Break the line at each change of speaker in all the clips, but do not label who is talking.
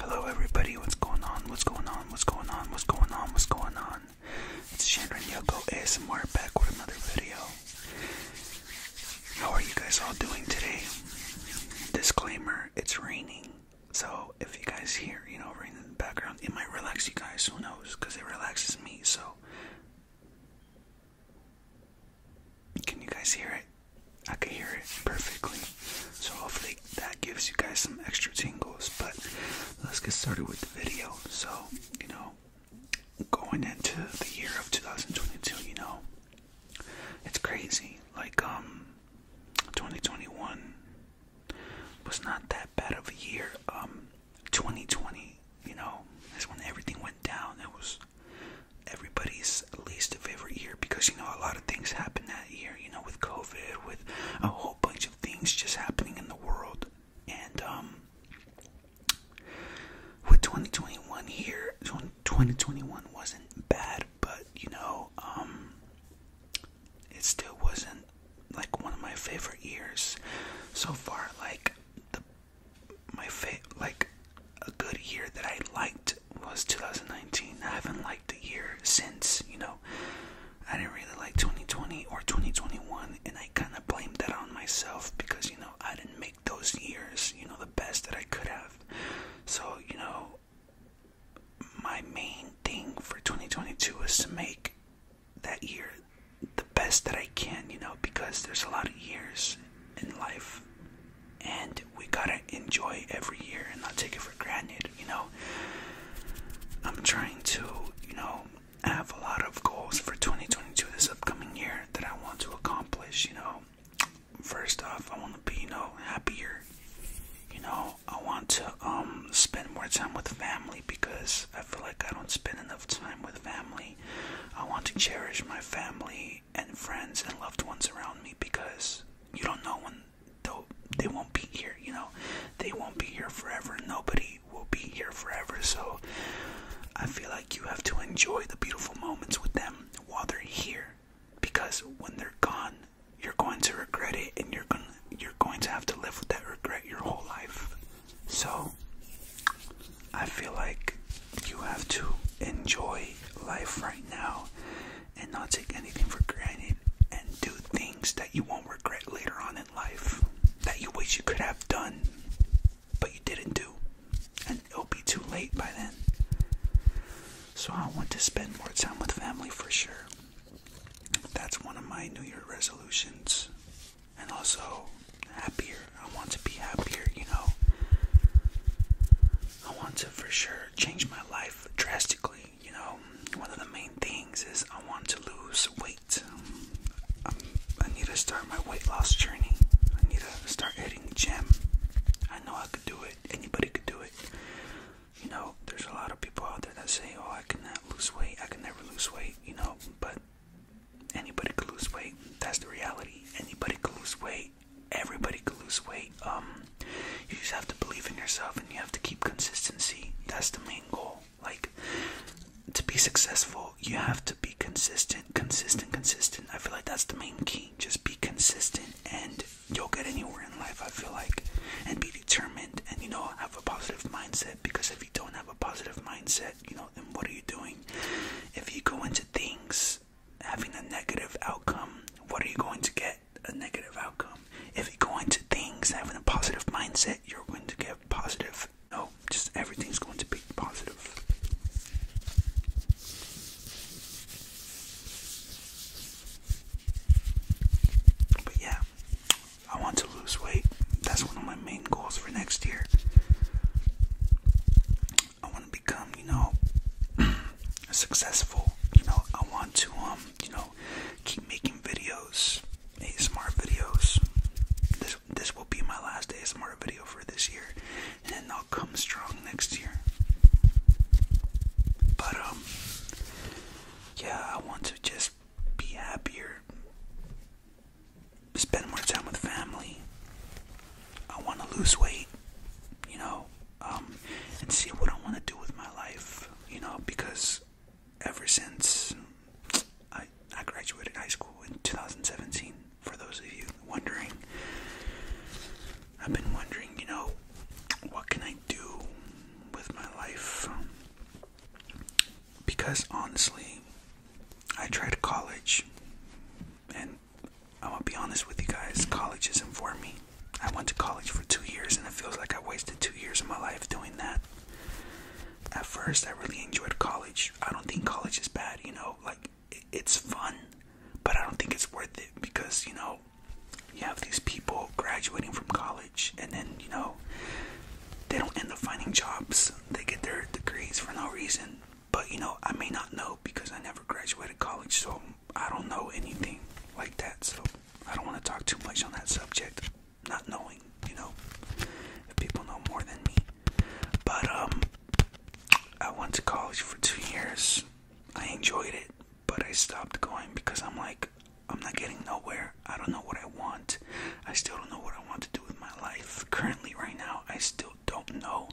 Hello everybody, what's going on? What's going on? What's going on? What's going on? What's going on? It's Chandra Yoko ASMR back with another video. How are you guys all doing today? Disclaimer, it's raining. So if you guys hear, you know, rain in the background, it might relax you guys, who knows? Because it relaxes me, so can you guys hear it? I can hear it perfectly. So hopefully that gives you guys some extra tingles. But let's get started with the video. So, you know, going into the year of 2022, you know, it's crazy. Like, um, 2021 was not that bad of a year. Um, 2020, you know, that's when everything went down. It was everybody's least favorite year because you know a lot of things happen that year, you know, with COVID, with a whole bunch of things just happening in the world. And um with 2021 here, 2021 wasn't bad, but you know, um it still wasn't like one of my favorite years so far like the my fit like a good year that I liked was 2019. I haven't liked a year since, you know. I didn't really like 2020 or 2021, and I kind of blamed that on myself because, you know, I didn't make those years, you know, the best that I could have. So, you know, my main thing for 2022 is to make that year the best that I can, you know, because there's a lot of years in life and we gotta enjoy every year and not take it for granted, you know. I'm trying to, you know, have a lot of goals for 2022 this upcoming year that I want to accomplish, you know. First off, I want to be, you know, happier. You know, I want to um spend more time with family because I feel like I don't spend enough time with family family. I want to cherish my family and friends and loved ones around me because you don't know when they'll, they won't be here, you know? They won't be here forever. Nobody will be here forever. So I feel like you have to enjoy the beautiful moments with them while they're here because when they're gone, you're going to regret it and you're going to, you're going to have to live with that regret your whole life. So, I feel like you have to enjoy life right now and not take anything for granted and do things that you won't regret later on in life that you wish you could have done but you didn't do. And it'll be too late by then. So, I want to spend more time with family for sure. That's one of my New Year resolutions and also happier. I want to be happier, you know. I want to for sure change my life drastically, you know. One of the main things is I want to lose weight. i need to start my weight loss journey. I need to start hitting the gym. I know I could do it. Anybody could do it. You know, there's a lot of people out there that say, "Oh, I cannot lose weight. I can never lose weight." you know, but anybody could lose weight. That's the reality. Anybody could lose weight. Everybody could lose weight. Um, you just have to believe in yourself and you have to keep consistency. That's the main goal. Like, to be successful, you have to be consistent, consistent, consistent. I feel like that's the main key. Just be consistent and you'll get anywhere in life, I feel like. And be determined and you know have a positive mindset because if you don't have a positive mindset you know then what are you doing if you go into things having a negative outcome what are you going to get a negative outcome if you go into things having a positive mindset you're going to get positive no just everything's going to be positive but yeah, I want to lose weight. That's one of my main goals for next year. I want to become, you know, successful. You know, I want to, um, you know, keep making videos, smart videos. This this will be my last smart video for this year, and I'll come strong next year. But um, yeah, I want to just be happier, spend more time with family. I want to lose weight, you know, um, and see what I want to do with my life, you know, because ever since I, I graduated high school in 2017, for those of you wondering, I've been wondering, you know, what can I do with my life? Because honestly, I tried college, and I'm gonna be honest with you guys, college isn't for me. I went to college for two years, and it feels like I wasted two years of my life doing that. At first, I really enjoyed college. I don't think college is bad, you know, like it's fun, but I don't think it's worth it because, you know, you have these people graduating from college and then you know they don't end up finding jobs they get their degrees for no reason but you know i may not know because i never graduated college so i don't know anything like that so i don't want to talk too much on that subject not knowing you know if people know more than me but um i went to college for two years I enjoyed it, but I stopped going because I'm like, I'm not getting nowhere. I don't know what I want. I still don't know what I want to do with my life. Currently, right now, I still don't know.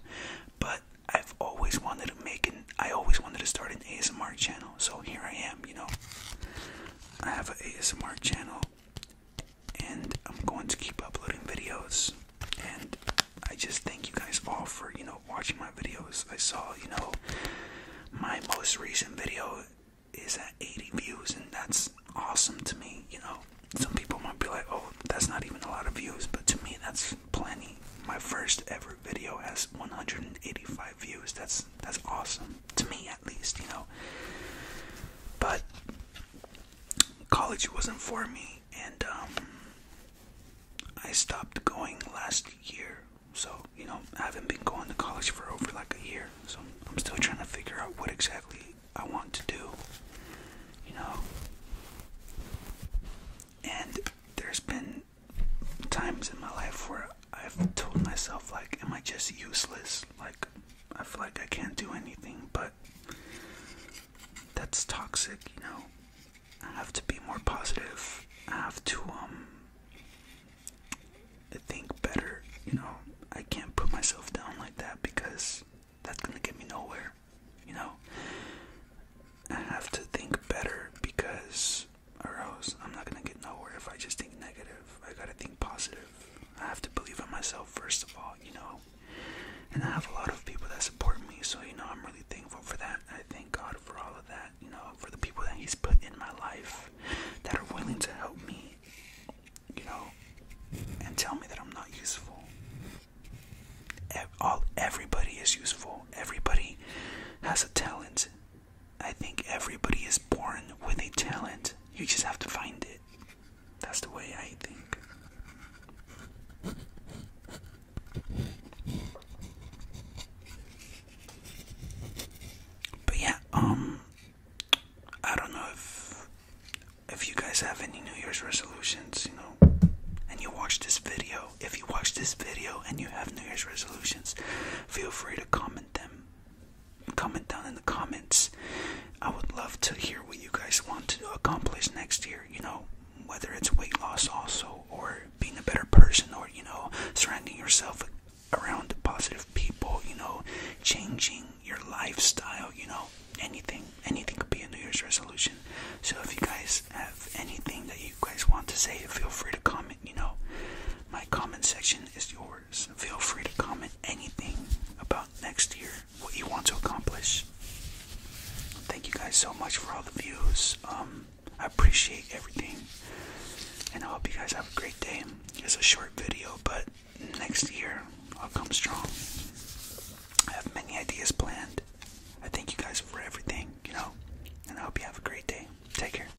But I've always wanted to make an, I always wanted to start an ASMR channel. So here I am, you know. I have an ASMR channel and I'm going to keep uploading videos and I just thank you guys all for, you know, watching my videos. I saw, you know, my most recent video is at 80 views, and that's awesome to me, you know. Some people might be like, oh, that's not even a lot of views, but to me, that's plenty. My first ever video has 185 views. That's that's awesome to me, at least, you know. But college wasn't for me, and um, I stopped going last year. So, you know, I haven't been going to college for over like a year. So, I'm still trying to figure out what exactly I want to do, you know. And there's been times in my life where I've told myself, like, am I just useless? Like, I feel like I can't do anything, but that's toxic, you know. I have to be more positive. I have to um think better, you know. I can't put myself down like that because that's gonna get me nowhere, you know. I have to think better because or else I'm not gonna get nowhere if I just think negative. I gotta think positive. I have to believe in myself first of all, you know. And I have a lot of people that support me, so you know, I'm really thankful for that. I thank God for all of that, you know, for the people that He's put in my life that are willing to help me, you know, and tell me that I'm not useful. All everybody is useful. Everybody has a talent. I think everybody is born with a talent. You just have to find it. That's the way I think. But yeah, um I don't know if if you guys have any New Year's resolutions, you know, and you watch this video. If you watch this video and you have New Year's resolutions, feel free to comment them Comment down in the comments. I would love to hear what you guys want to accomplish next year, you know, whether it's weight loss also, or being a better person, or, you know, surrounding yourself around positive people, you know, changing your lifestyle, you know, anything. Anything could be a New Year's resolution. So if you guys have anything that you guys want to say, feel free to comment, you know. My comment section is yours yours. Feel free to comment anything about next year, what you want to accomplish. Thank you guys so much for all the views. Um, I appreciate everything, and I hope you guys have a great day. It's a short video, but next year I'll come strong. I have many ideas planned. I thank you guys for everything, you know, and I hope you have a great day. Take care.